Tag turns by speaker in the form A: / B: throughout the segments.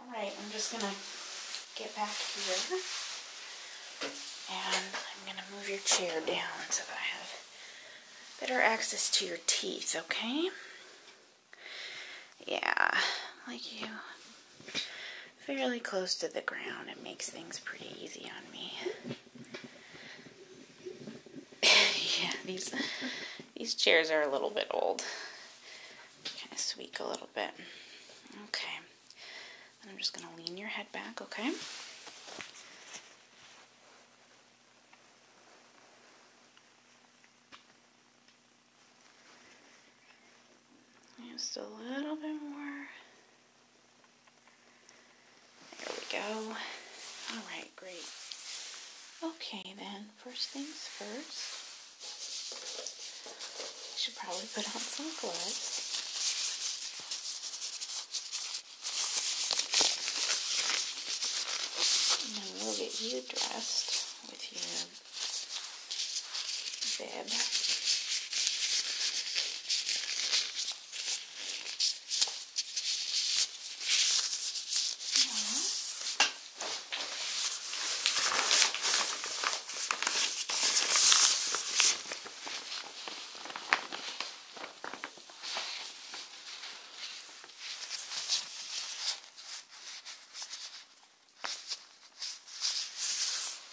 A: Alright, I'm just going to get back here. And I'm going to move your chair down so that I have better access to your teeth, okay? Yeah, like you. Fairly close to the ground. It makes things pretty easy on me. yeah, these these chairs are a little bit old kind of squeak a little bit. Okay. I'm just going to lean your head back, okay? Just a little bit more. There we go. All right, great. Okay, then first things first, I should probably put on some gloves. And then we'll get you dressed with your bib. There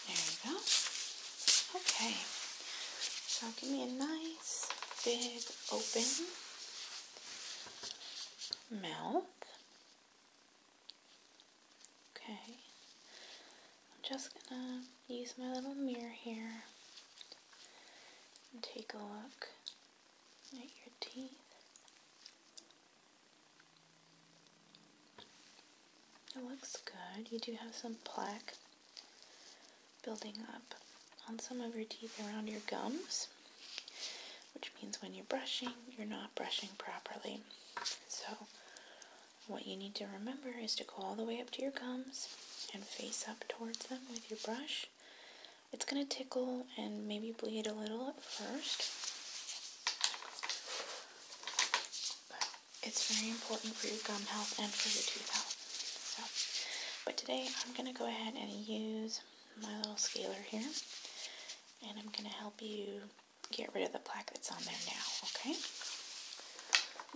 A: we go. Okay. So give me a nice big open mouth. Okay, I'm just gonna use my little mirror here and take a look at your teeth. It looks good. You do have some plaque building up on some of your teeth around your gums which means when you're brushing, you're not brushing properly. So, what you need to remember is to go all the way up to your gums and face up towards them with your brush. It's going to tickle and maybe bleed a little at first. But it's very important for your gum health and for your tooth health. So, but today I'm going to go ahead and use my little scaler here and I'm going to help you get rid of the plaque that's on there now, okay?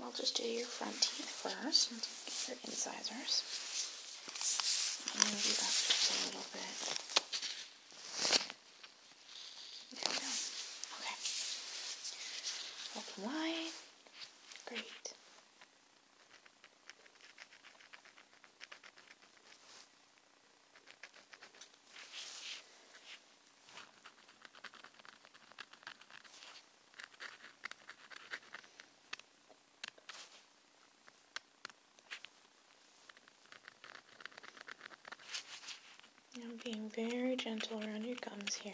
A: I'll just do your front teeth first and get your incisors. And move you up just a little bit. Okay. Open wide. Great. I'm being very gentle around your gums here.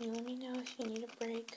A: let me know if you need a break.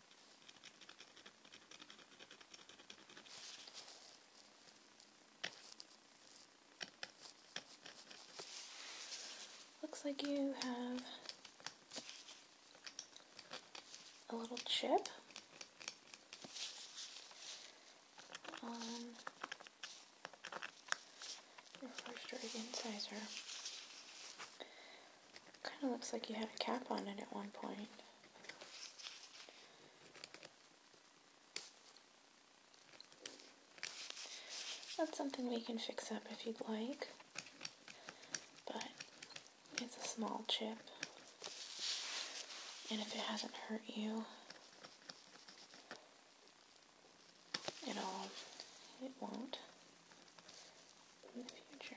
A: Looks like you have a little chip on your first incisor. Kind of looks like you had a cap on it at one point. That's something we can fix up if you'd like, but it's a small chip, and if it hasn't hurt you, at all, it won't in the future.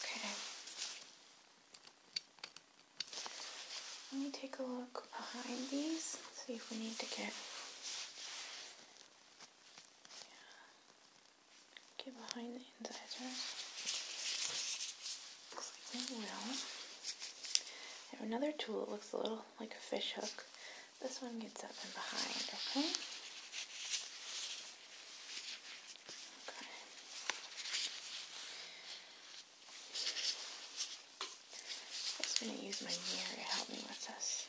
A: Okay. Let me take a look behind these, see if we need to get get behind the incisors. Looks like we will. have another tool that looks a little like a fish hook. This one gets up and behind, okay? Okay. I'm just going to use my mirror to help me with this.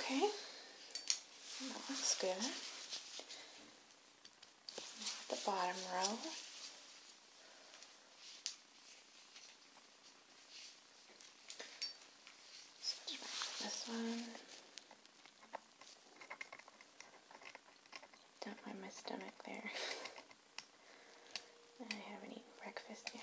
A: Okay, that looks good. The bottom row. Switch back to this one. Don't mind my stomach there. I haven't eaten breakfast yet.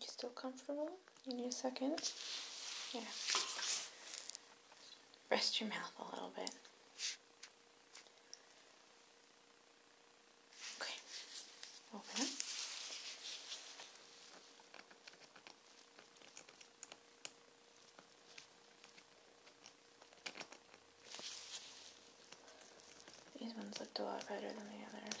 A: You still comfortable? You need a second? Yeah. Rest your mouth a little bit. Okay. Open up. These ones looked a lot better than the others.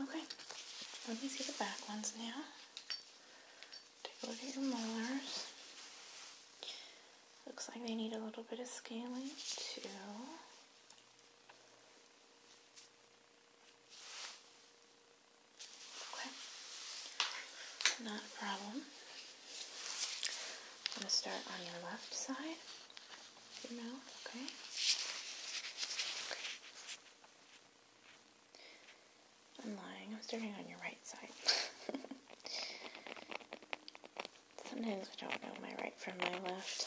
A: Okay, let me see the back ones now. Take a look at your molars. Looks like they need a little bit of scaling too. Okay, not a problem. I'm going to start on your left side, your mouth, okay? Okay. I'm lying. I'm starting on your right side. Sometimes I don't know my right from my left.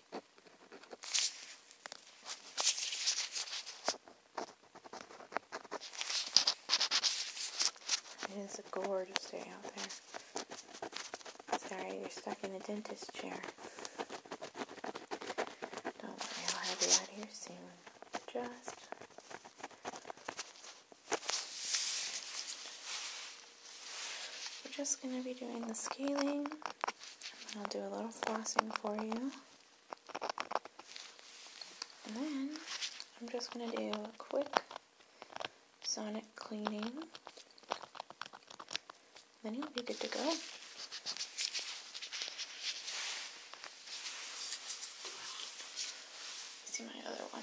A: It is a gorgeous day out there. Sorry, you're stuck in the dentist chair. Don't worry, I'll have you out here soon. Just we're just going to be doing the scaling, and I'll do a little flossing for you. And then I'm just going to do a quick sonic cleaning. Then you'll be good to go. See my other one.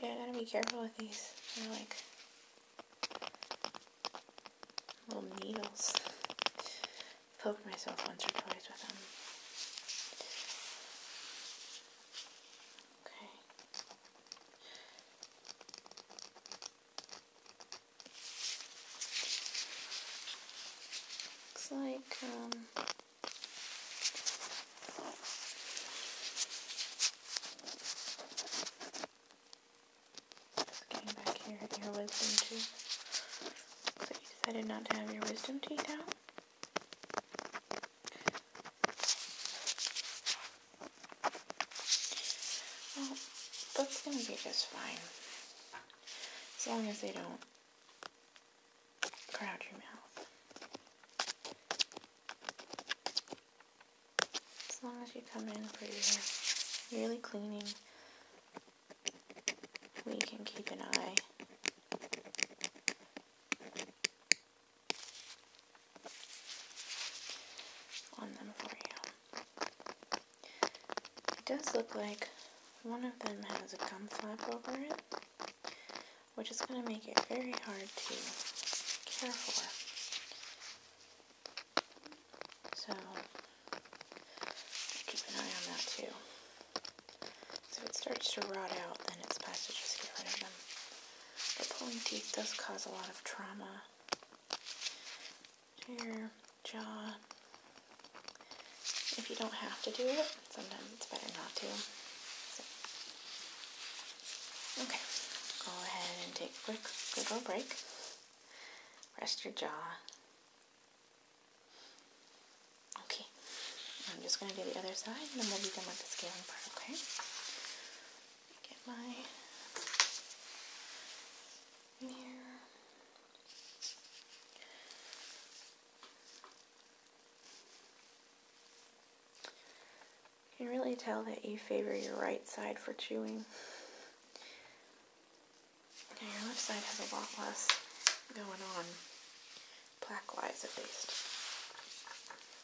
A: Yeah, I gotta be careful with these. They're like little needles. Poked myself once or twice with them. Okay. Looks like, um, getting back here, your wisdom tooth. So you decided not to have your wisdom teeth out? that's gonna be just fine. As long as they don't crowd your mouth. As long as you come in for your yearly cleaning, we can keep an eye it does look like one of them has a gum flap over it, which is going to make it very hard to care for. So, keep an eye on that too. So if it starts to rot out, then it's best to just get rid of them. But pulling teeth does cause a lot of trauma. Your jaw. If you don't have to do it, sometimes it's better not to. Okay, go ahead and take a quick little break. Rest your jaw. Okay, I'm just going to do the other side and then we'll be done with the scaling part, okay? Get my mirror. You can really tell that you favor your right side for chewing. Now your left side has a lot less going on, plaque-wise at least.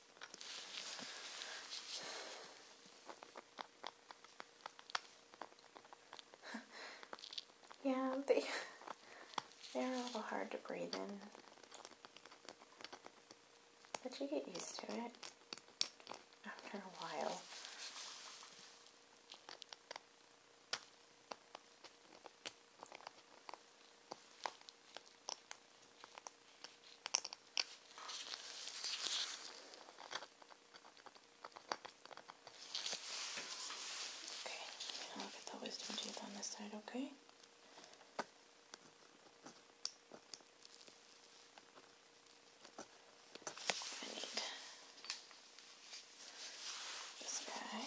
A: yeah, they they're a little hard to breathe in. But you get used to it after a while. Okay, now I'll get the wisdom teeth on this side, okay? I need this guy.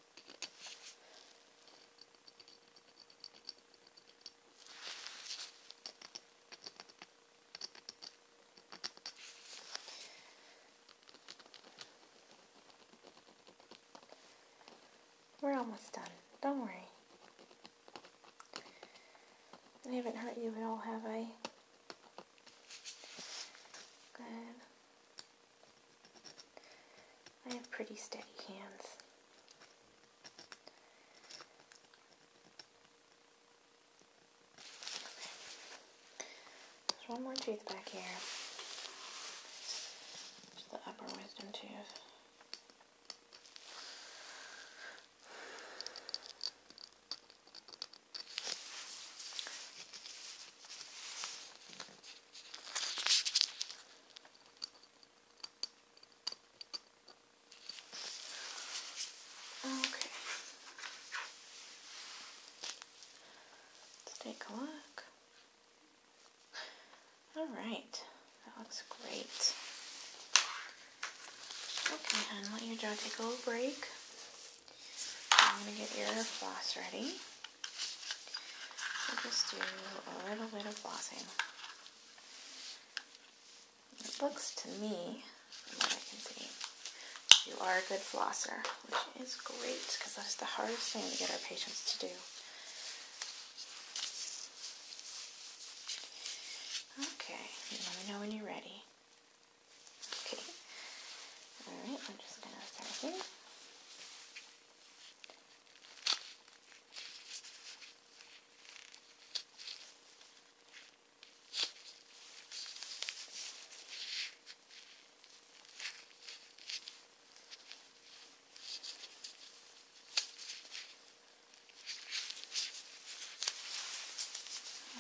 A: We're almost done. Don't worry. I haven't hurt you at all, have I? Good. I have pretty steady hands. There's one more tooth back here. It's the upper wisdom tooth. Okay. Let's take a look. All right. That looks great. Okay, hon, let your jaw take a little break. I'm going to get your floss ready. We'll just do a little bit of flossing. It looks to me, from I can see, you are a good flosser, which is great because that's the hardest thing to get our patients to do. Okay, let me know when you're ready. Okay. Alright, I'm just going to start here.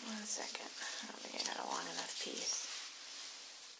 A: One second. I don't think I got a long enough piece.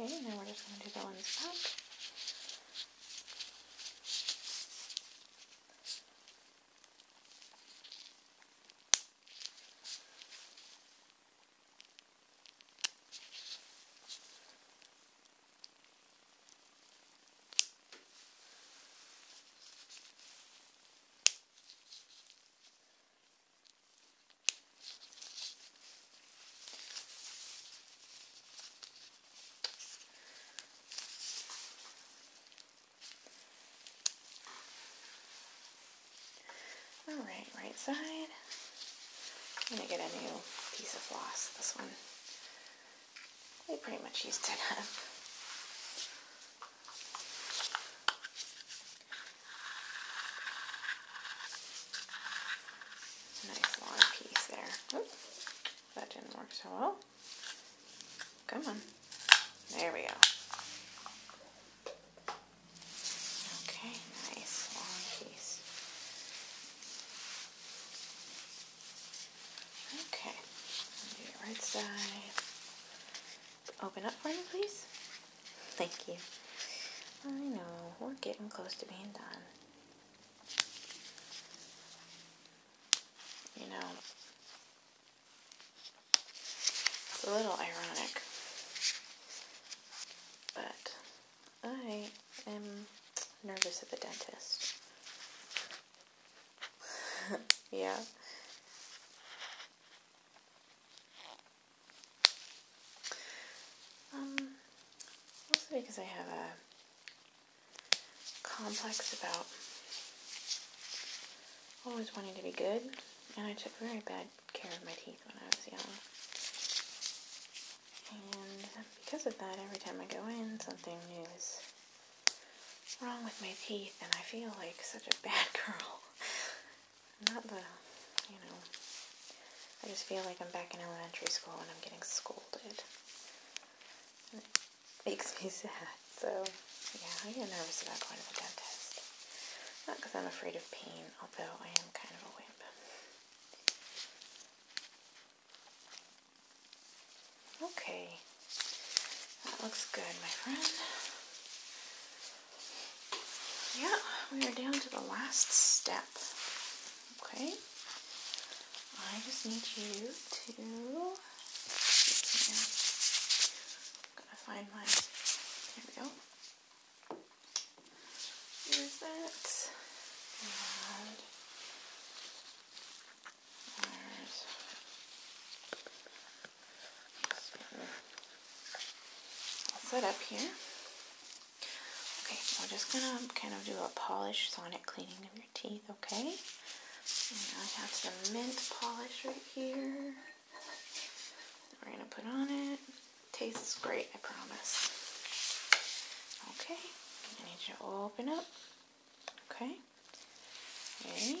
A: Okay, now we're just going to do that one this pack. Alright, right side. I'm going to get a new piece of floss. This one, we pretty much used it up. Nice long piece there. Oop, that didn't work so well. Come on. There we go. Okay, nice long piece. Okay, do your right side. Open up for me, please. Thank you. I know, we're getting close to being done. You know, it's a little ironic, but I am nervous at the dentist. yeah. Um, because I have a complex about always wanting to be good, and I took very bad care of my teeth when I was young. And because of that, every time I go in, something new is wrong with my teeth, and I feel like such a bad girl. Not the, you know, I just feel like I'm back in elementary school and I'm getting scolded. It makes me sad. So, yeah, I get nervous about going to the dentist. Not because I'm afraid of pain, although I am kind of a wimp. Okay. That looks good, my friend. Yeah, we are down to the last step. Okay. I just need you to find my there we go. There's that set up here. Okay, so I'm just going to kind of do a polish sonic cleaning of your teeth, okay? I have some mint polish right here. We're going to put on it. Tastes great, I promise. Okay, I need you to open up. Okay, ready?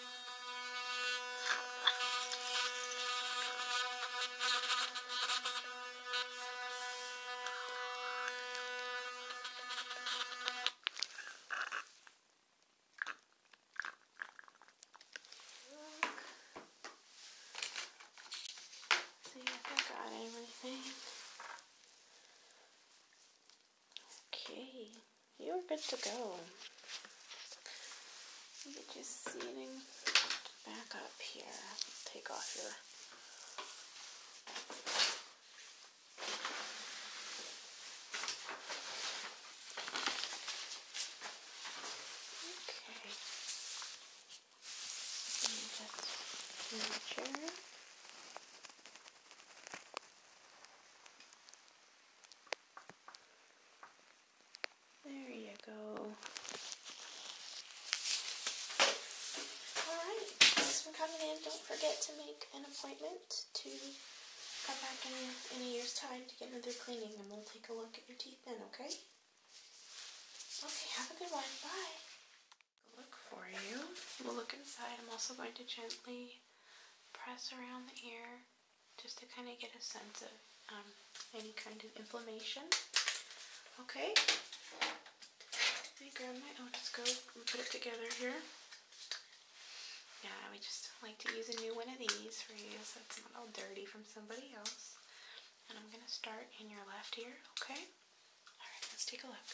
A: See if I got everything. Okay, you're good to go. Get you seating back up here. Take off your Okay. And just there you go. Alright, thanks for coming in. Don't forget to make an appointment to come back in, in a year's time to get another cleaning and we'll take a look at your teeth then, okay? Okay, have a good one. Bye. Look for you. We'll look inside. I'm also going to gently press around the ear just to kind of get a sense of um, any kind of inflammation. Okay, let me grab my otoscope and put it together here. Yeah, we just like to use a new one of these for you so it's not all dirty from somebody else. And I'm going to start in your left ear, okay? Alright, let's take a look.